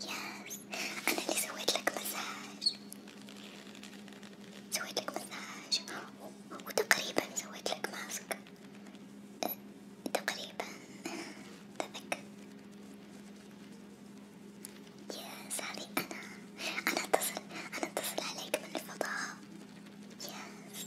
يس أنا اللي سويت لك مساج سويت لك مساج وتقريبا سويت لك ماسك تقريبا تذكر يس هذه أنا أنا أتصل أنا أتصل عليك من الفضاء يس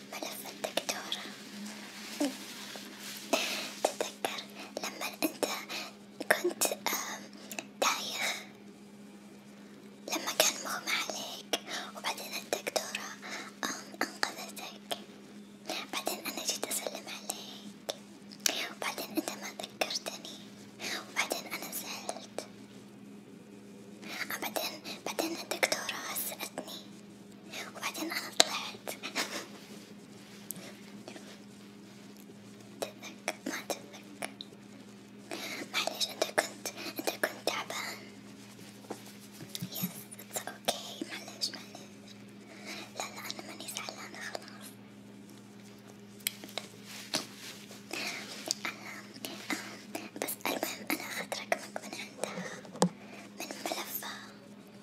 ملف الدكتورة تتذكر لما أنت كنت تايه لما كان مغمى عليك وبعدين الدكتورة أنقذتك بعدين أنا جيت أسلم عليك وبعدين أنت ما ذكرتني وبعدين أنا زعلت بعدين بعدين الدكتورة هزأتني وبعدين أنا طلعت تذكر ما تذكر معليش أنت كنت أنت كنت تعبان يس اتس اوكي معليش معليش لا لا أنا ماني زعلانة خلاص أنا بس المهم أنا أخذت رقمك من عندها من ملفها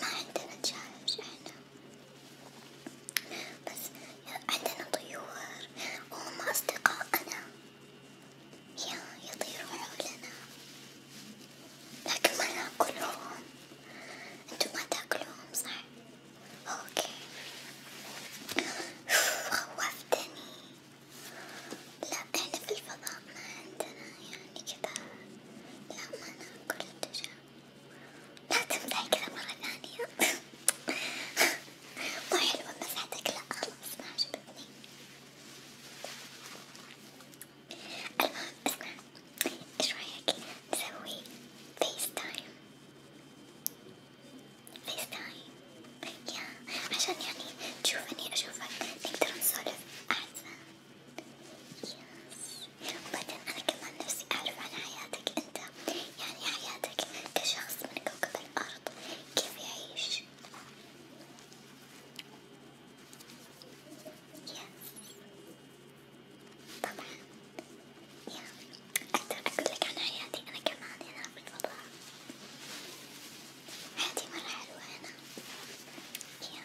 ما عندنا دجاج احنا بس عندنا طيور وهم أصدقائنا يطيرون حولنا لكن ما ناكلهم انتم ما تاكلوهم صح؟ اوكي خوفتني لا احنا في الفضاء ما عندنا يعني يعني كذا لما أنام كل اتجاه لا تمسح كذا مرة ثانية مو حلوة مسحتك لا خلاص ما عجبتني المهم اسمع ايش رأيك نسوي فيس تايم فيس تايم يا عشان يعني تشوفني أشوفك نقدر نسولف أحسن وبعدين أنا كمان نفسي أعرف عن حياتك أنت، يعني حياتك كشخص من كوكب الأرض كيف يعيش؟ يا طبعا يا أقدر أقول لك عن حياتي أنا كمان هنا في الفضاء، حياتي مرة حلوة هنا، يا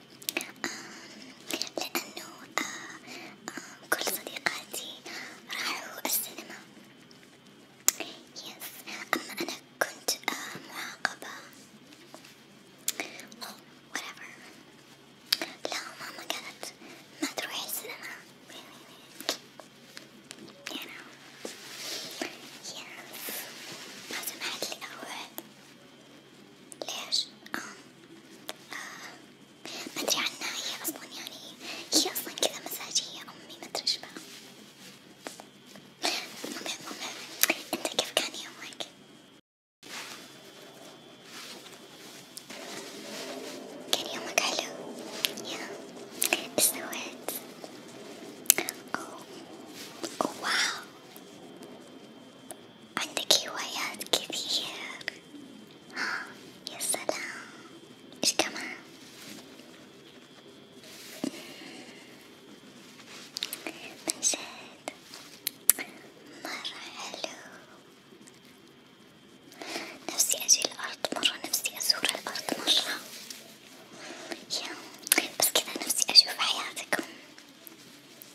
لأنه آه، آه، كل صديقاتي راحوا السينما يس أما أنا كنت آه، معاقبة أو whatever لا ماما قالت ما تروحي السينما you know yes ما سمحت لي أروح ليش؟ آه. آه. ما أدري عنها هي أصلا يعني هي أصلا كذا مزاجية أمي ما أدري إيش بها المهم أنت كيف كان يومك؟ كان يومك حلو؟ يا إيش سويت؟ أوه. أوه واو عندك هوايات كثير يا سلام ايش كمان من جد مرة حلو نفسي اجي الارض مرة نفسي ازور الارض مرة يا بس كذا نفسي اشوف حياتكم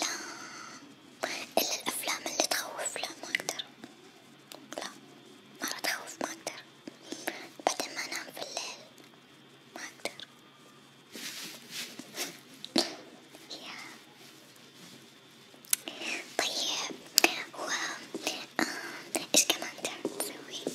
لا إلا الأفلام اللي تخوف لا ما أقدر لا مرة تخوف ما أقدر بعدين ما أنام في الليل ما أقدر يا طيب و آه، إيش كمان تعرف تسوي؟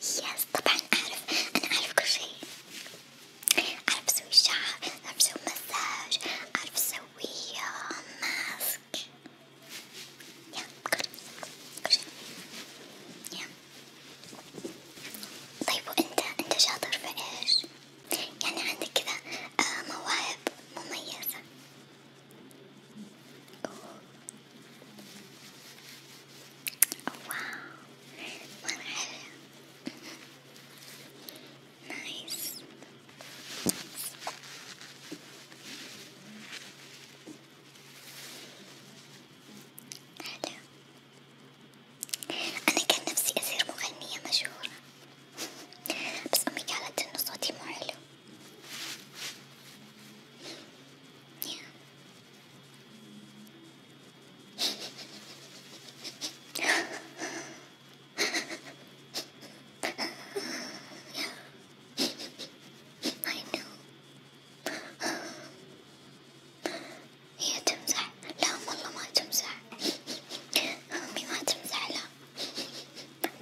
يس طبعا أعرف أنا أعرف كل شي أعرف أسوي شعر أعرف أسوي مساج أعرف أسوي ماسك آه، يا كل كل شي يا طيب وأنت أنت شاطر في إيش؟ يعني عندك كذا آه، مواهب مميزة واو مرة حلوة نايس حلو أنا كان نفسي أصير مغنية مشهورة بس أمي قالت إنه صوتي مو حلو yeah. I know. هي تمزح، لا والله ما تمزح، أمي ما تمزح لا،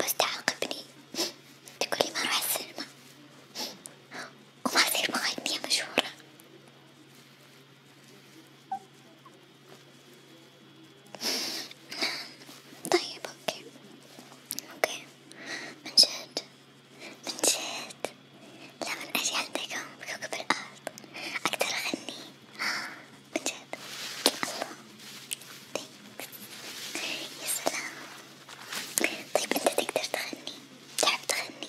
بس تعاقبني، تقولي ما أروح السينما. وبصير مغنية مشهورة طيب اوكي اوكي من جد من جد لا من اجي عندكم بكوكب الارض اقدر اغني من جد الله يا سلام طيب انت تقدر تغني تحب تغني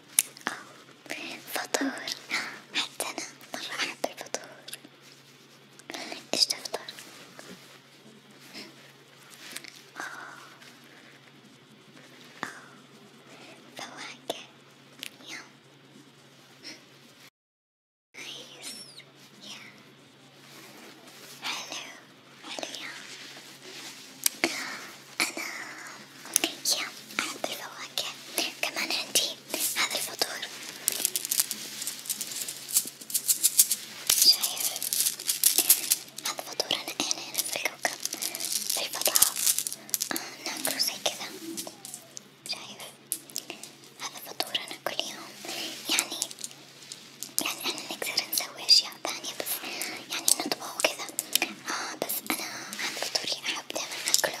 فطور حتى أنا مرة أحب الفطور، إيش تفطر؟ آه آه فواكه يم نايس يا حلو حلو يا أنا يا عندي فواكه كمان عندي هذا الفطور شايف هذا فطور أنا إيه، أنا هنا في الكوكب في الفضاء آه، ناكله زي كذا شايف هذا فطور أنا كل يوم يعني يعني أنا نقدر نسوي أشياء ثانية بس يعني نطبخ وكذا آه بس أنا هذا فطوري أحب دايما أكله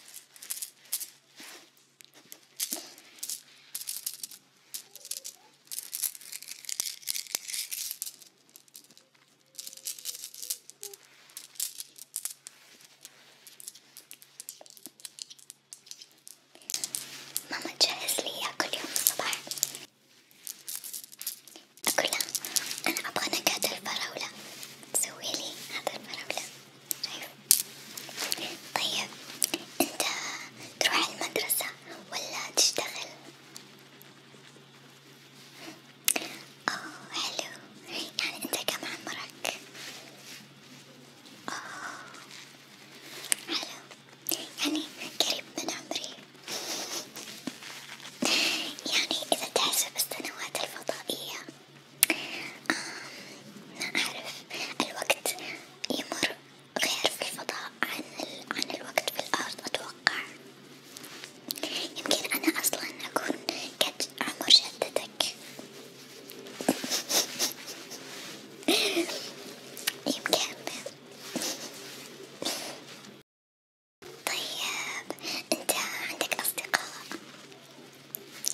ماما تجهز لي إياه كل يوم الصبح أقول أنا أبغى نكهة الفراولة سويلي هذا الفراولة شايف طيب. طيب انت تروح المدرسة ولا تشتغل؟ اوه حلو يعني انت كم عمرك؟ اوه حلو يعني قريب من عمري يعني اذا تحسب السنوات الفضائية لا آه، أعرف الوقت يمر غير في الفضاء عن عن الوقت في الأرض أتوقع، يمكن أنا أصلا أكون قد عمر جدتك، يمكن. طيب انت عندك اصدقاء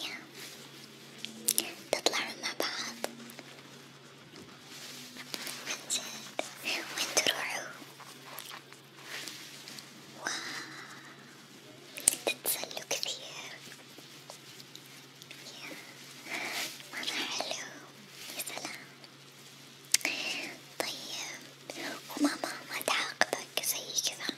yeah. تطلعون مع بعض عنجد وين تروحوا واو تتسلوا كثير yeah. مرة حلو يا سلام طيب وماما ما تعاقبك زي كذا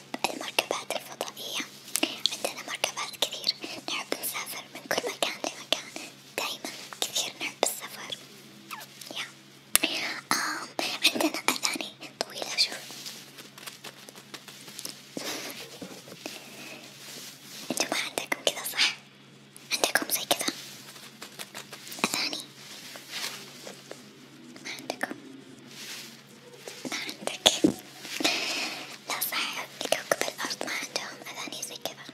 نحب المركبات الفضائية عندنا مركبات كثير نحب نسافر من كل مكان لمكان دايما كثير نحب السفر يا آم عندنا أغاني طويلة شوي انتو ما عندكم كذا صح؟ عندكم زي كذا أغاني؟ ما عندكم ما عندك لا صح كوكب الأرض ما عندهم أغاني زي كذا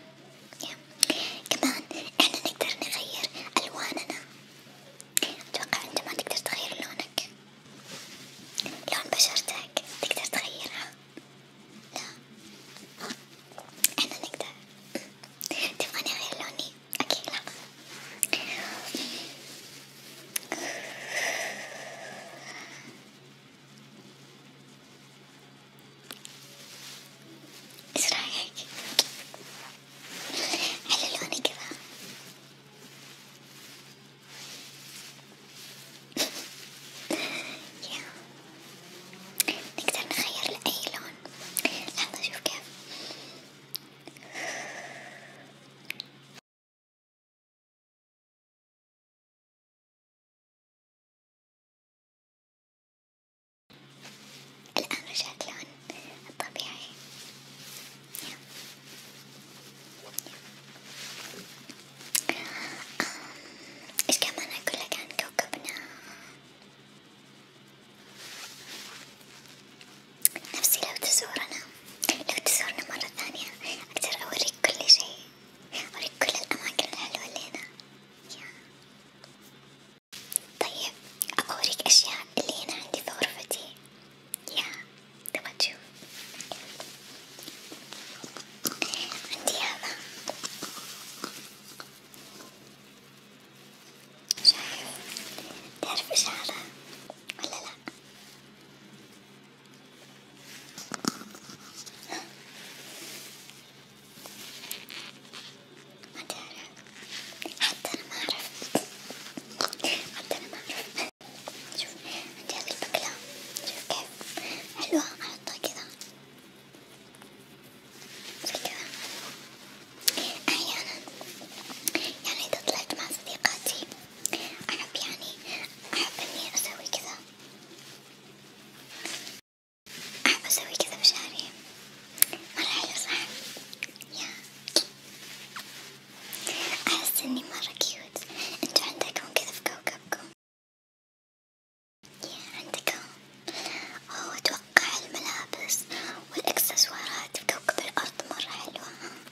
كمان احنا نقدر نغير ألواننا أتوقع أنت ما تقدر تغير لونك لون بشرتك تقدر تغيرها لا احنا نقدر تبغاني اغير لوني أكيد لا إيش رأيك؟ حلو لوني كذا نقدر نخير لأي لون لحظة شوف كيف الآن رجعت لون الطبيعي yeah. Yeah. Um, إيش كمان أقول لك عن كوكبنا؟ نفسي لو تزورنا لو تزورنا مرة ثانية أقدر أوريك كل شيء أوريك كل الأماكن الحلوة اللي هنا طيب أوريك أشياء اللي هنا عندي في غرفتي يا تبغى تشوف عندي هذا شايف تعرف إشعارها ولا لا؟ ما تعرف حتى أنا ما أعرف حتى أنا ما أعرف شوف عندي هذي البقلة شوف كيف حلوة أحطها كذا زي كذا أحيانا يعني إذا طلعت مع صديقاتي أحب يعني أحب إني أسوي كذا أحب أسوي كذا بشعري مرة حلو صح؟ يا أحس إني مرة كيوت أنتو عندكم كذا في كوكبكم يا عندكم أوه أتوقع الملابس والإكسسوارات في كوكب الأرض مرة حلوة ها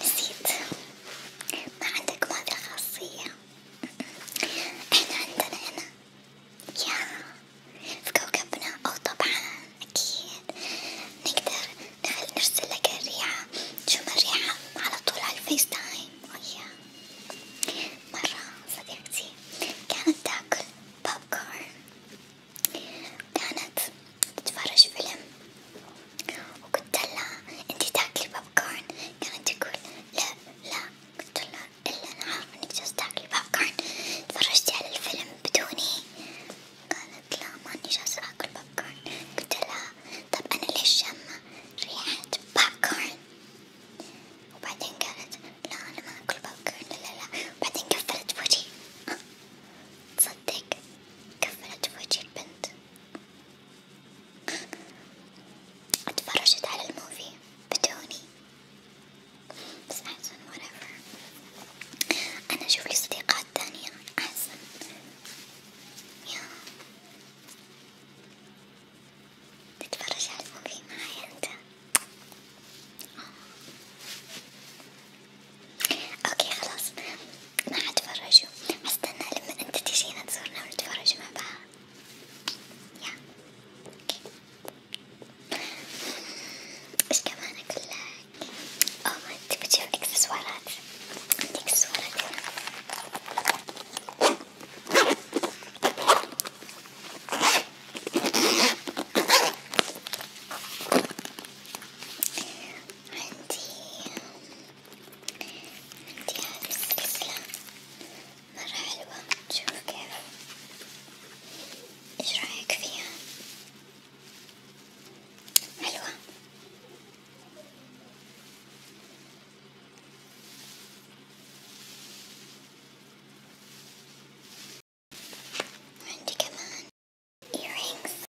نسيت ما عندك هذه الخاصية احنا عندنا هنا يا في كوكبنا او طبعا اكيد نقدر نرسل لك الريحة شو الريحة على طول على الفيس تايم ويا مرة صديقتي كانت تاكل بوب كورن كانت تتفرج فيلم وقلت لها انتي تاكلي بوب كورن كانت تقول لا لا قلت لها الا انا عارفة انك جالسة تاكلي بوب كورن تفرجتي على الفيلم بدوني قالت لا ماني جالسة اكل بوب كورن قلت لها طب انا ليش شامة ريحة بوب كورن وبعدين قالت لا انا ما اكل بوب كورن لا لا وبعدين قفلت وجهي تصدق قفلت وجهي البنت اتفرجت على الموفي بدوني بس احسن whatever انا اشوف لي صديقات تانية احسن يا تتفرج على الموفي معايا انت اوكي خلاص ما حتفرجوا حستنى لما انت تجينا تزورنا نعم، ونتفرج مع بعض يا اوكي ايش كمان اقول لك؟ اوه ما انت بتجيب اكسسوارات عندي اكسسوارات هنا عندي عندي هذه السلسلة مرة حلوة شوف كيف ايش رأيك فيها حلوة وعندي كمان earrings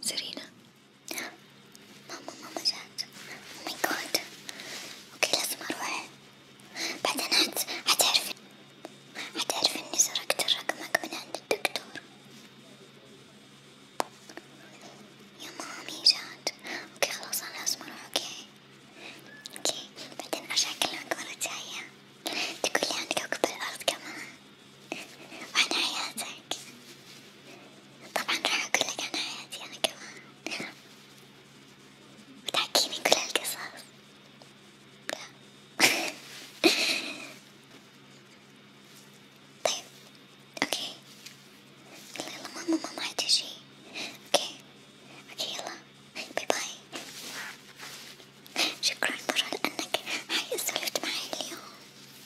سيرينا ماما ماما جات او ماي جاد اوكي لازم اروح بعدين حت... حتعرفي حتعرفي اني سرقت رقمك من عند الدكتور يا مامي جات اوكي خلاص انا لازم اروح اوكي اوكي بعدين ارجع اكلمك مرة جاية تقولي عندك عقب الارض كمان عن حياتك طبعا راح أقولك عن حياتي أنا كمان بتحكيني كل هالقصص لا طيب اوكي يلا يلا ماما ماما حتجي اوكي اوكي يلا باي باي شكرا مرة لأنك هاي سولفت معي اليوم